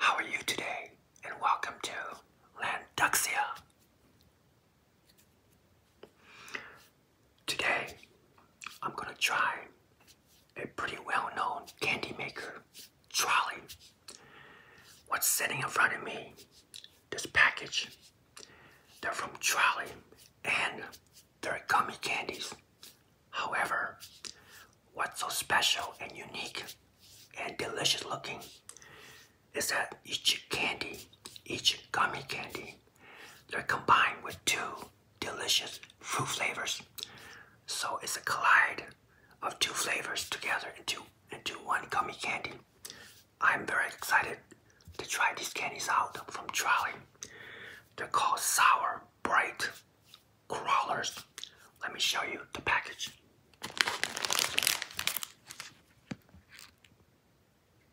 How are you today? And welcome to Landuxia. Today, I'm gonna try a pretty well-known candy maker, Trolley. What's sitting in front of me, this package, they're from Trolley and they're gummy candies. However, what's so special and unique and delicious looking is that each candy, each gummy candy they're combined with two delicious fruit flavors. So it's a collide of two flavors together in two into, two one gummy candy. I'm very excited to try these candies out from Trolley. They're called Sour Bright Crawlers. Let me show you the package.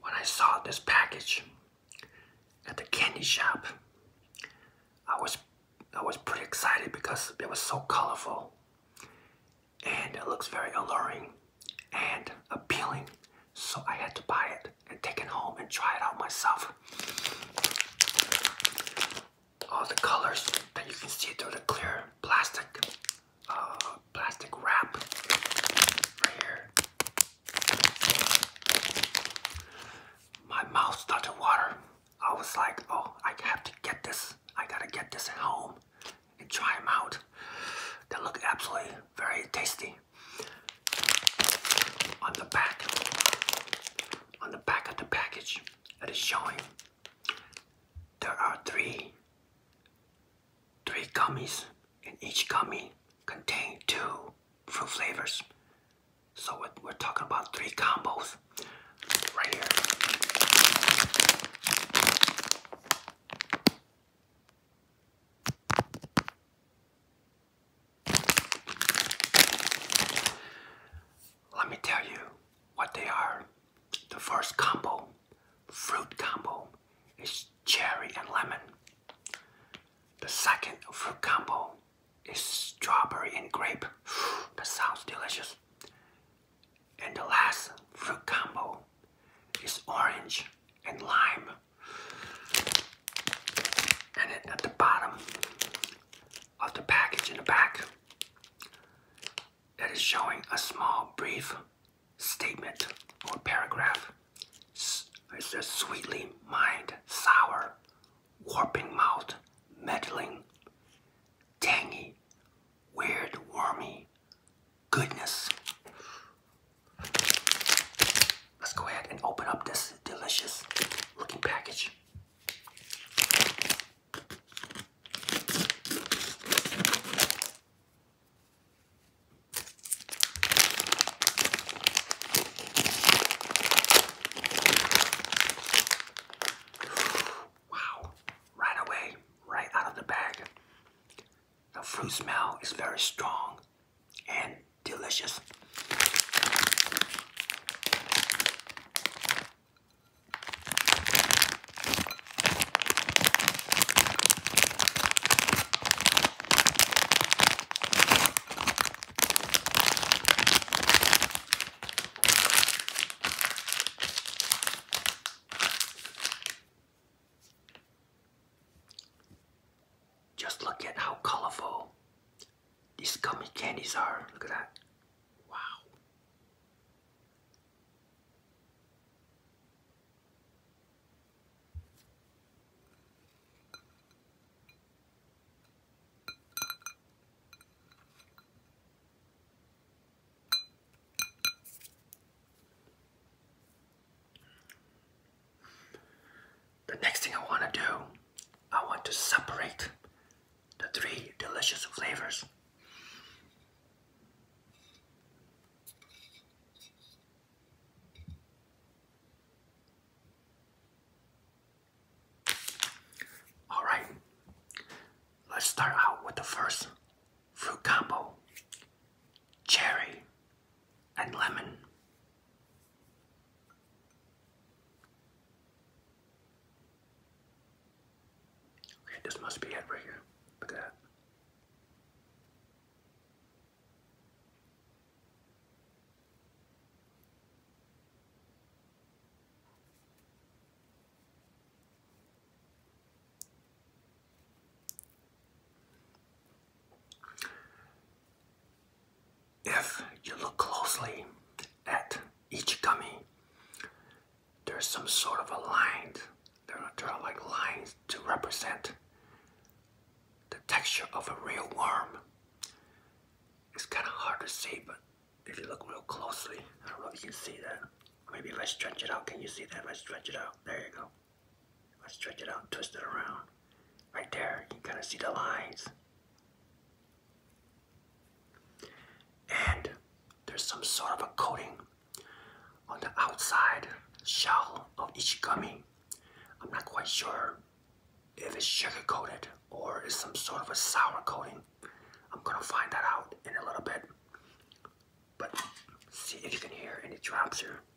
When I saw this package at the candy shop, I was I was pretty excited because it was so colorful and it looks very alluring and appealing, so I had to buy it and take it home and try it out myself. All the colors that you can see through the clear plastic, uh, plastic wrap right here. My mouth started water. I was like, oh, I have to get this. I gotta get this at home and try them out. They look absolutely very tasty. On the back, on the back of the package, it is showing there are three, three gummies, and each gummy contains two fruit flavors. So we're talking about three combos right here. Let me tell you what they are. The first combo, fruit combo, is cherry and lemon. The second fruit combo is strawberry and grape. That sounds delicious. And the last fruit combo is orange and lime. And at the bottom of the package in the back, it is showing a small brief statement or paragraph. It's a sweetly mind, sour, warping mouth, meddling, tangy, weird, wormy, goodness. Let's go ahead and open up this delicious looking package. Wow, right away, right out of the bag. The fruit smell is very strong and delicious. Just look at how colorful these gummy candies are. Look at that. Wow. The next thing I want to do, I want to separate the three delicious flavors. Alright, let's start out with the first fruit combo, cherry, and lemon. Okay, this must be it right here. Look at that. If you look closely at each gummy, there's some sort of a line. There are, there are like lines to represent the texture of a real worm. It's kind of hard to see, but if you look real closely, I don't know if you can see that. Maybe if I stretch it out, can you see that? If I stretch it out, there you go. Let's stretch it out, twist it around. Right there, you can kind of see the lines. And there's some sort of a coating on the outside shell of each gummy. I'm not quite sure if it's sugar coated or it's some sort of a sour coating. I'm gonna find that out in a little bit. But see if you can hear any drops here.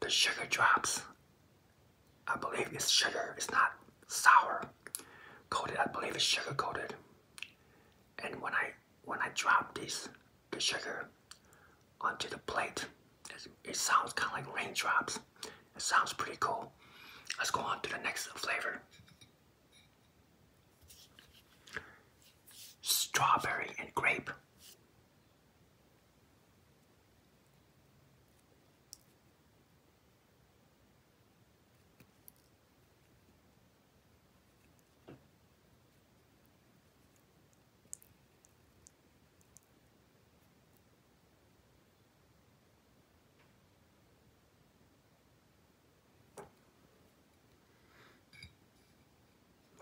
The sugar drops, I believe it's sugar, it's not sour coated, I believe it's sugar coated. And when I when I drop this the sugar onto the plate, it sounds kind of like raindrops. It sounds pretty cool. Let's go on to the next flavor. Strawberry and grape.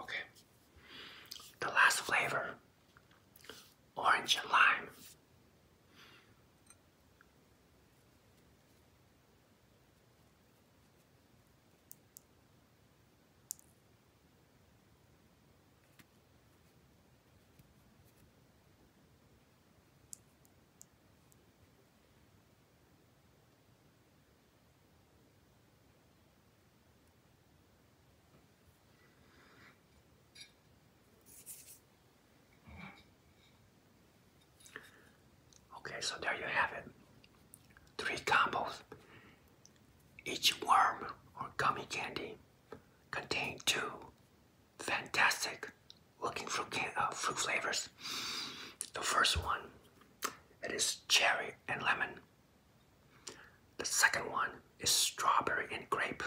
Okay. The last flavor orange and lime. Okay, so there you have it. Three combos. Each worm or gummy candy contained two fantastic looking fruit, uh, fruit flavors. The first one it is cherry and lemon. The second one is strawberry and grape.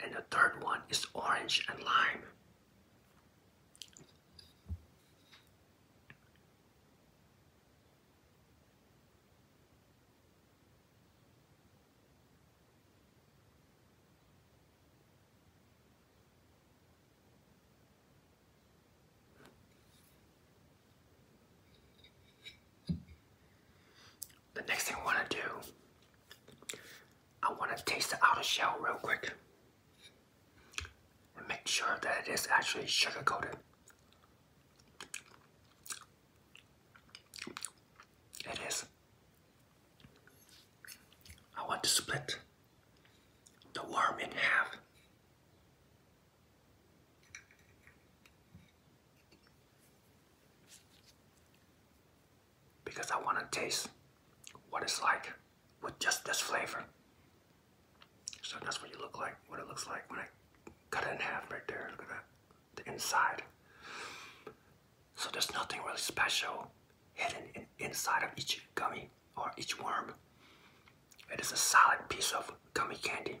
And the third one is orange and lime. The next thing I want to do, I want to taste the outer shell real quick and make sure that it is actually sugar coated. It is. I want to split the worm in half. Because I want to taste what it's like with just this flavor. So that's what you look like, what it looks like when I cut it in half right there. Look at that, the inside. So there's nothing really special hidden in, inside of each gummy or each worm. It is a solid piece of gummy candy.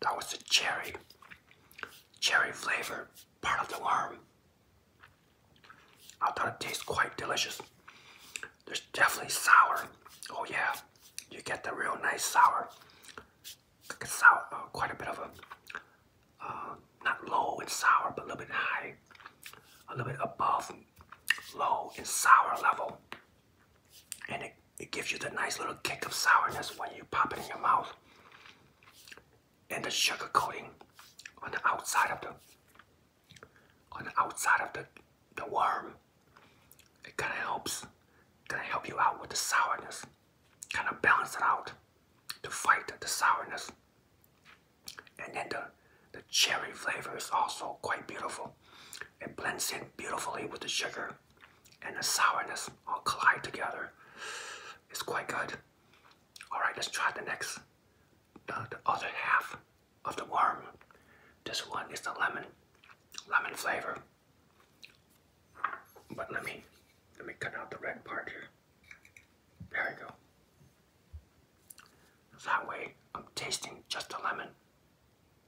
That was the cherry, cherry flavor part of the worm. I thought it tastes quite delicious. There's definitely sour. Oh yeah, you get the real nice sour. a sour, uh, quite a bit of a, uh, not low and sour, but a little bit high, a little bit above low and sour level. And it it gives you the nice little kick of sourness when you pop it in your mouth. And the sugar coating on the outside of the on the outside of the, the worm. It kinda helps gonna help you out with the sourness. Kinda balance it out to fight the sourness. And then the, the cherry flavor is also quite beautiful. It blends in beautifully with the sugar and the sourness all collide together. It's quite good. All right, let's try the next, the, other half of the worm. This one is the lemon, lemon flavor. But let me, let me cut out the red part here. There we go. That way, I'm tasting just the lemon.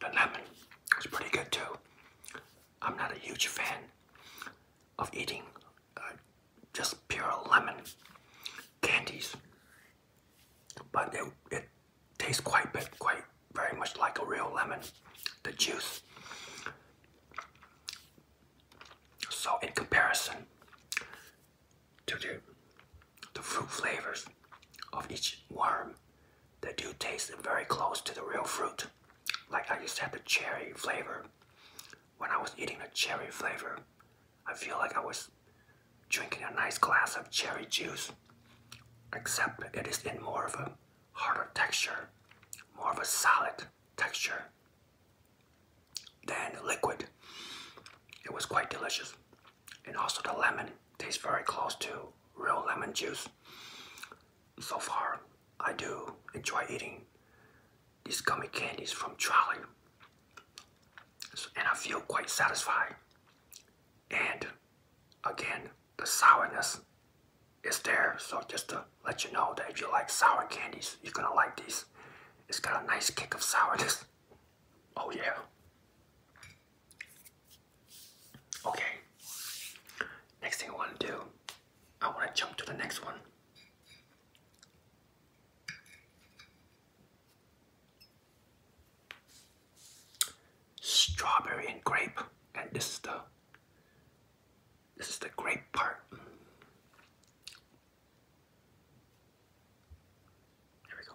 The lemon was pretty good too. I'm not a huge fan of eating uh, just pure lemon candies, but it, it tastes quite bit, quite very much like a real lemon, the juice. So in comparison to the, the fruit flavors, of each worm. They do taste very close to the real fruit. Like I just had the cherry flavor. When I was eating the cherry flavor, I feel like I was drinking a nice glass of cherry juice. Except it is in more of a harder texture, more of a solid texture than liquid. It was quite delicious. And also the lemon tastes very close to real lemon juice. So far, I do enjoy eating these gummy candies from Charlie, and I feel quite satisfied. And again, the sourness is there, so just to let you know that if you like sour candies, you're gonna like these. It's got a nice kick of sourness. Oh yeah. Okay. Next thing I want to do, I want to jump to the next one. Strawberry and grape, and this is the this is the grape part. There we go.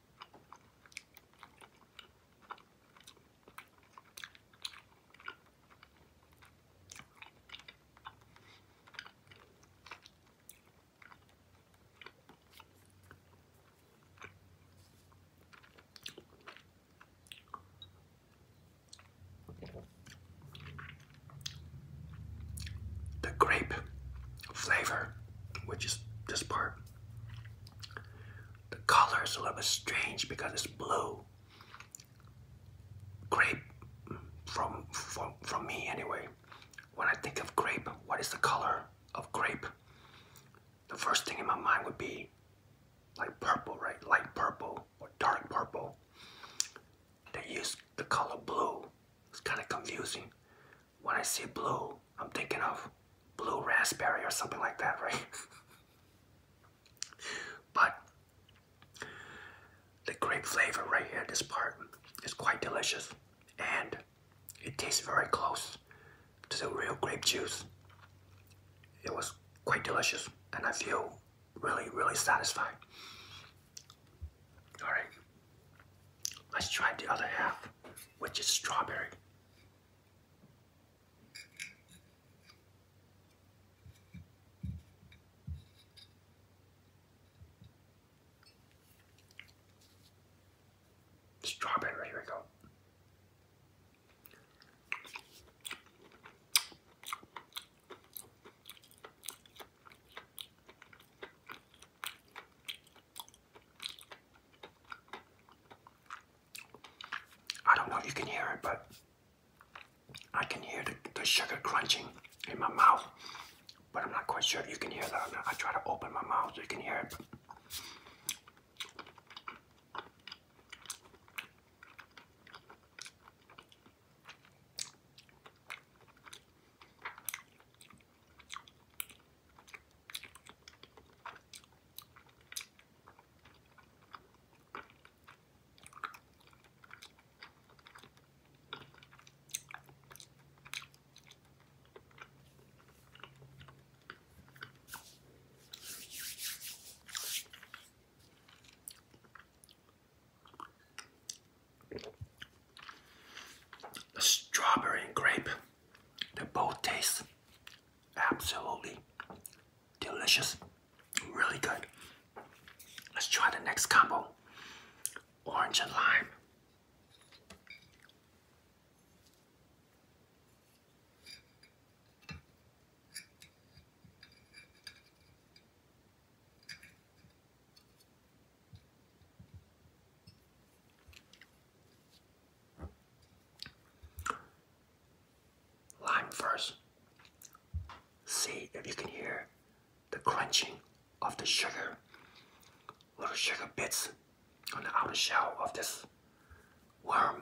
The grape flavor, which is this part, the color is a little bit strange because it's blue. Grape, from from from me anyway. When I think of grape, what is the color of grape? The first thing in my mind would be like purple, right? Light purple or dark purple. They use the color blue. It's kind of confusing when I see blue, I'm thinking of blue raspberry or something like that, right? but the grape flavor right here, this part, is quite delicious and it tastes very close to the real grape juice. It was quite delicious and I feel really, really satisfied. Alright, let's try the other half, which is strawberry. Strawberry, here we go. I don't know if you can hear it, but I can hear the, the sugar crunching in my mouth. But I'm not quite sure if you can hear that. I try to open my mouth so you can hear it. The strawberry and grape they both taste absolutely delicious. Really good. Let's try the next combo. Orange and lime. Lime first. See if you can hear the crunching of the sugar, little sugar bits on the outer shell of this worm.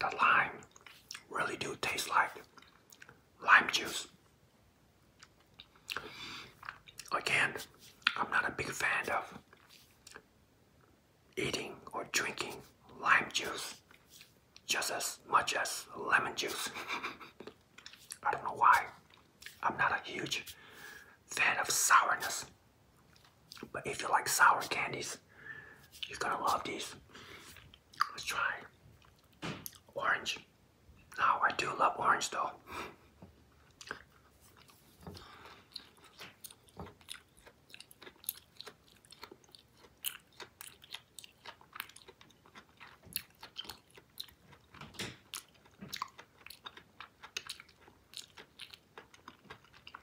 The lime really do taste like lime juice. Again, I'm not a big fan of eating or drinking lime juice just as much as lemon juice. I don't know why. I'm not a huge fan of sourness. But if you like sour candies, you're gonna love these. Let's try orange. Now, I do love orange though.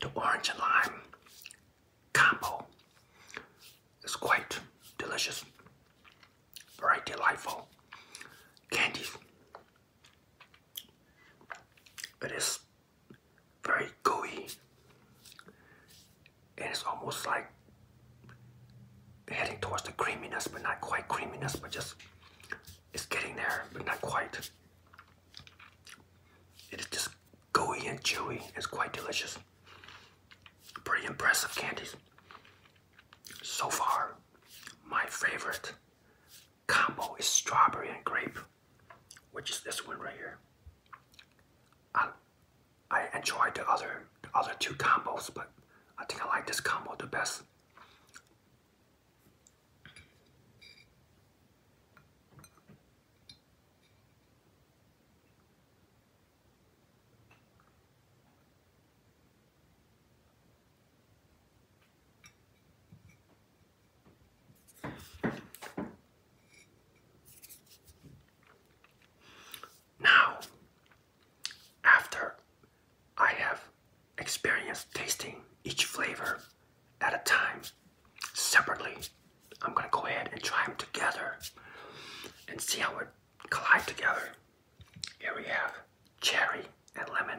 The orange and lime combo is quite delicious, very delightful candies. It is very gooey, and it's almost like heading towards the creaminess, but not quite creaminess, but just it's getting there, but not quite. It is just gooey and chewy. It's quite delicious. Pretty impressive candies. So far, my favorite combo is strawberry and grape, which is this one right here. I, enjoy the other the other two combos, but I think I like this combo the best. Now, after I have experienced tasting each flavor at a time separately. I'm gonna go ahead and try them together and see how it collide together. Here we have cherry and lemon.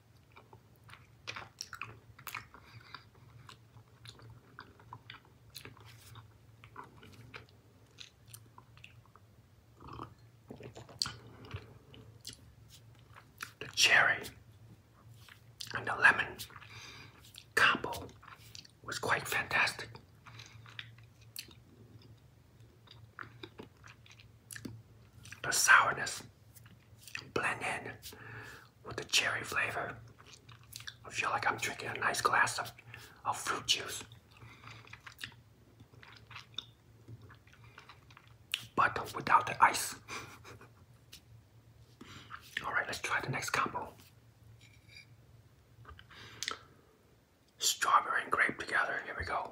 The cherry and the lemon combo was quite fantastic. The sourness blend with the cherry flavor. I feel like I'm drinking a nice glass of, of fruit juice. But without the ice. Alright, let's try the next combo. Strawberry and grape together. Here we go.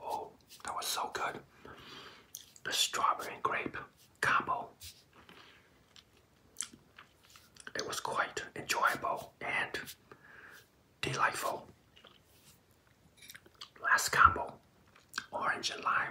Oh, that was so good. The strawberry and grape combo. It was quite enjoyable and delightful. Last combo, orange and lime.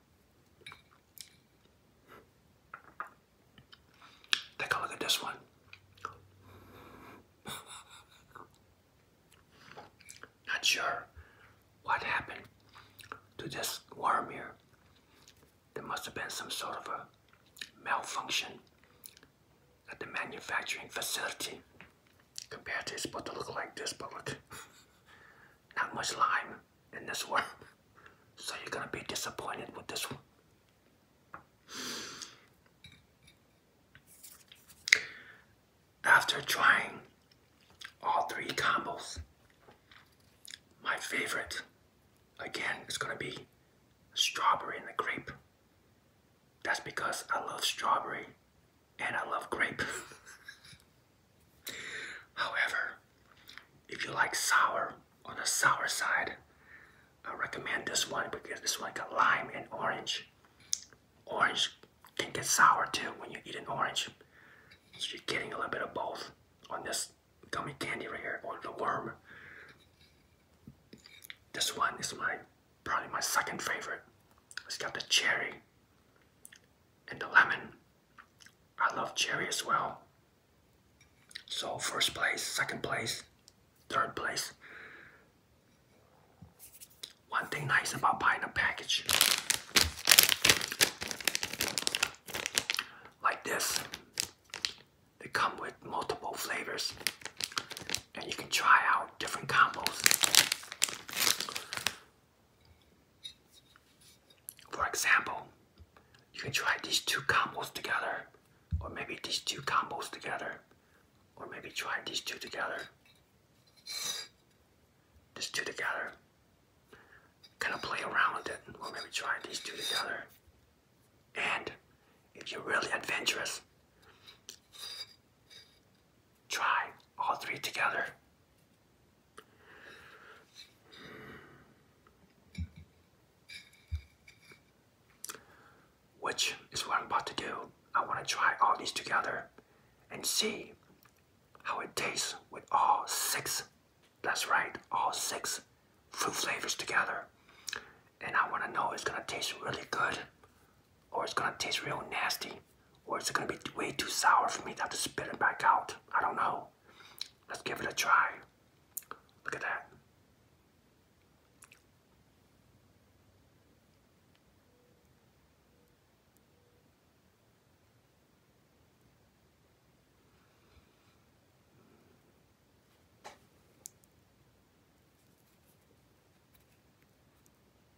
Take a look at this one. Not sure what happened to this worm here. There must have been some sort of a malfunction at the manufacturing facility. Compared to it's supposed to look like this, but look not much lime in this one. So you're gonna be disappointed with this one. After trying all three combos, my favorite again is gonna be strawberry and the grape. That's because I love strawberry and I love grape. However, if you like sour on the sour side, I recommend this one because this one got lime and orange. Orange can get sour too when you eat an orange. So you're getting a little bit of both on this gummy candy right here, on the worm. This one is my probably my second favorite. It's got the cherry and the lemon I love cherry as well. So first place, second place, third place. One thing nice about buying a package like this, they come with multiple flavors and you can try out different combos. For example, you can try these two combos together, or maybe these two combos together, or maybe try these two together, these two together. Kind of play around with it, or maybe try these two together. And if you're really adventurous, Try all three together. Which is what I'm about to do. I want to try all these together and see how it tastes with all six. That's right, all six fruit flavors together. And I want to know it's going to taste really good or it's going to taste real nasty. Or is it gonna be way too sour for me to have to spit it back out? I don't know. Let's give it a try. Look at that.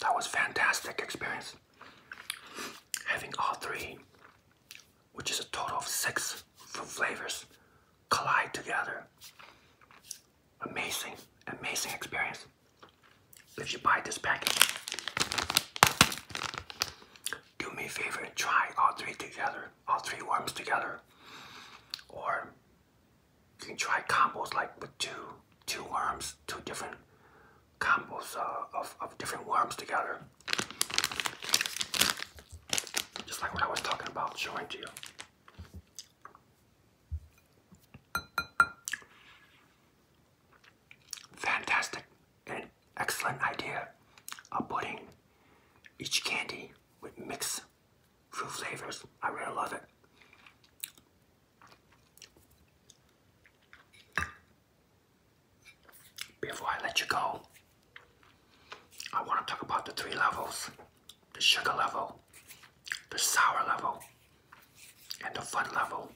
That was fantastic experience. Having all three, which is a total of six flavors, collide together. Amazing, amazing experience. If you buy this package, do me a favor and try all three together, all three worms together. Or you can try combos like with two two worms, two different combos uh, of, of different worms together. Just like what I was talking about showing to you. Fantastic and excellent idea of putting each candy with mixed fruit flavors. I really love it. Before I let you go, I want to talk about the three levels the sugar level, the sour level, and the fun level.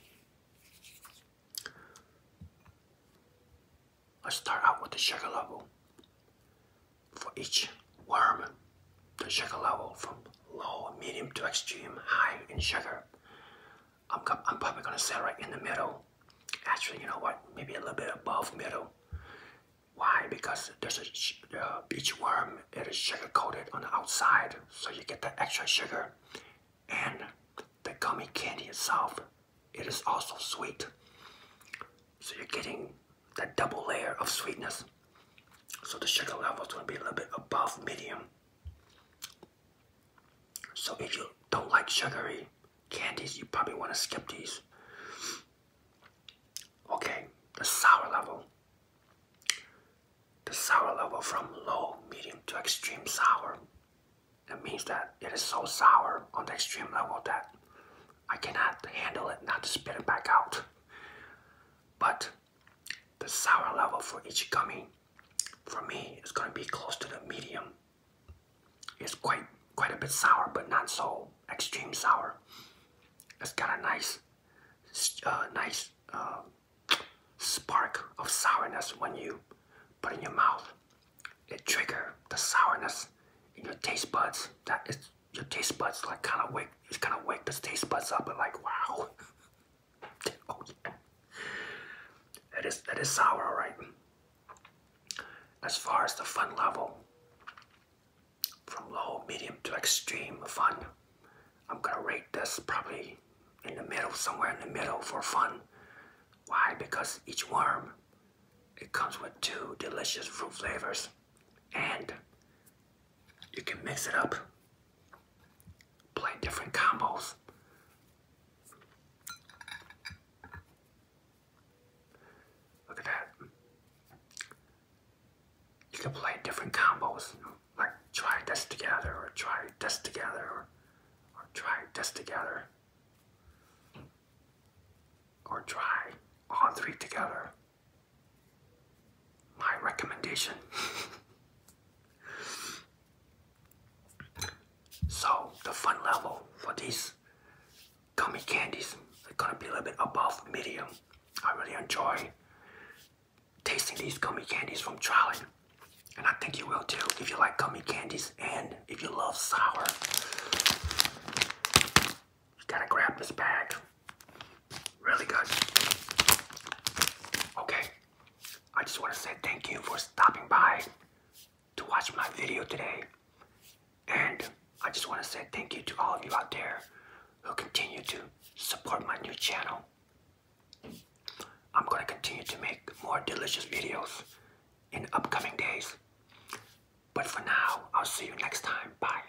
Let's start out with the sugar level. For each worm, the sugar level from low, medium to extreme, high in sugar. I'm, probably going to sell right in the middle. Actually, you know what? Maybe a little bit above middle. Why? Because there's a beach worm. It is sugar coated on the outside, so you get the extra sugar. And the gummy candy itself, it is also sweet. So you're getting that double layer of sweetness. So the sugar level is going to be a little bit above medium. So if you don't like sugary candies, you probably want to skip these. Okay, the sour level. The sour level from low, medium to extreme sour. That means that it is so sour on the extreme level that I cannot handle it, not to spit it back out. But the sour level for each gummy, for me, is going to be close to the medium. It's quite quite a bit sour, but not so extreme sour. It's got a nice, uh, nice uh, spark of sourness when you put in your mouth. It trigger the sourness in your taste buds. That is your taste buds like kind of wake. It's kind of wake the taste buds up and like wow. Oh, that is that is sour, alright. As far as the fun level, from low, medium to extreme fun, I'm gonna rate this probably in the middle, somewhere in the middle for fun. Why? Because each worm it comes with two delicious fruit flavors and you can mix it up play different combos. Look at that. You can play different combos, like try this together, or try this together, or try this together, or try all three together my recommendation. so the fun level for these gummy candies are gonna be a little bit above medium. I really enjoy tasting these gummy candies from Charlie. And I think you will too if you like gummy candies and if you love sour. You gotta grab this bag. Really good. Okay, I just want to say thank you for stopping by to watch my video today. And I just want to say thank you to all of you out there who continue to support my new channel. I'm going to continue to make more delicious videos in upcoming days. But for now, I'll see you next time. Bye.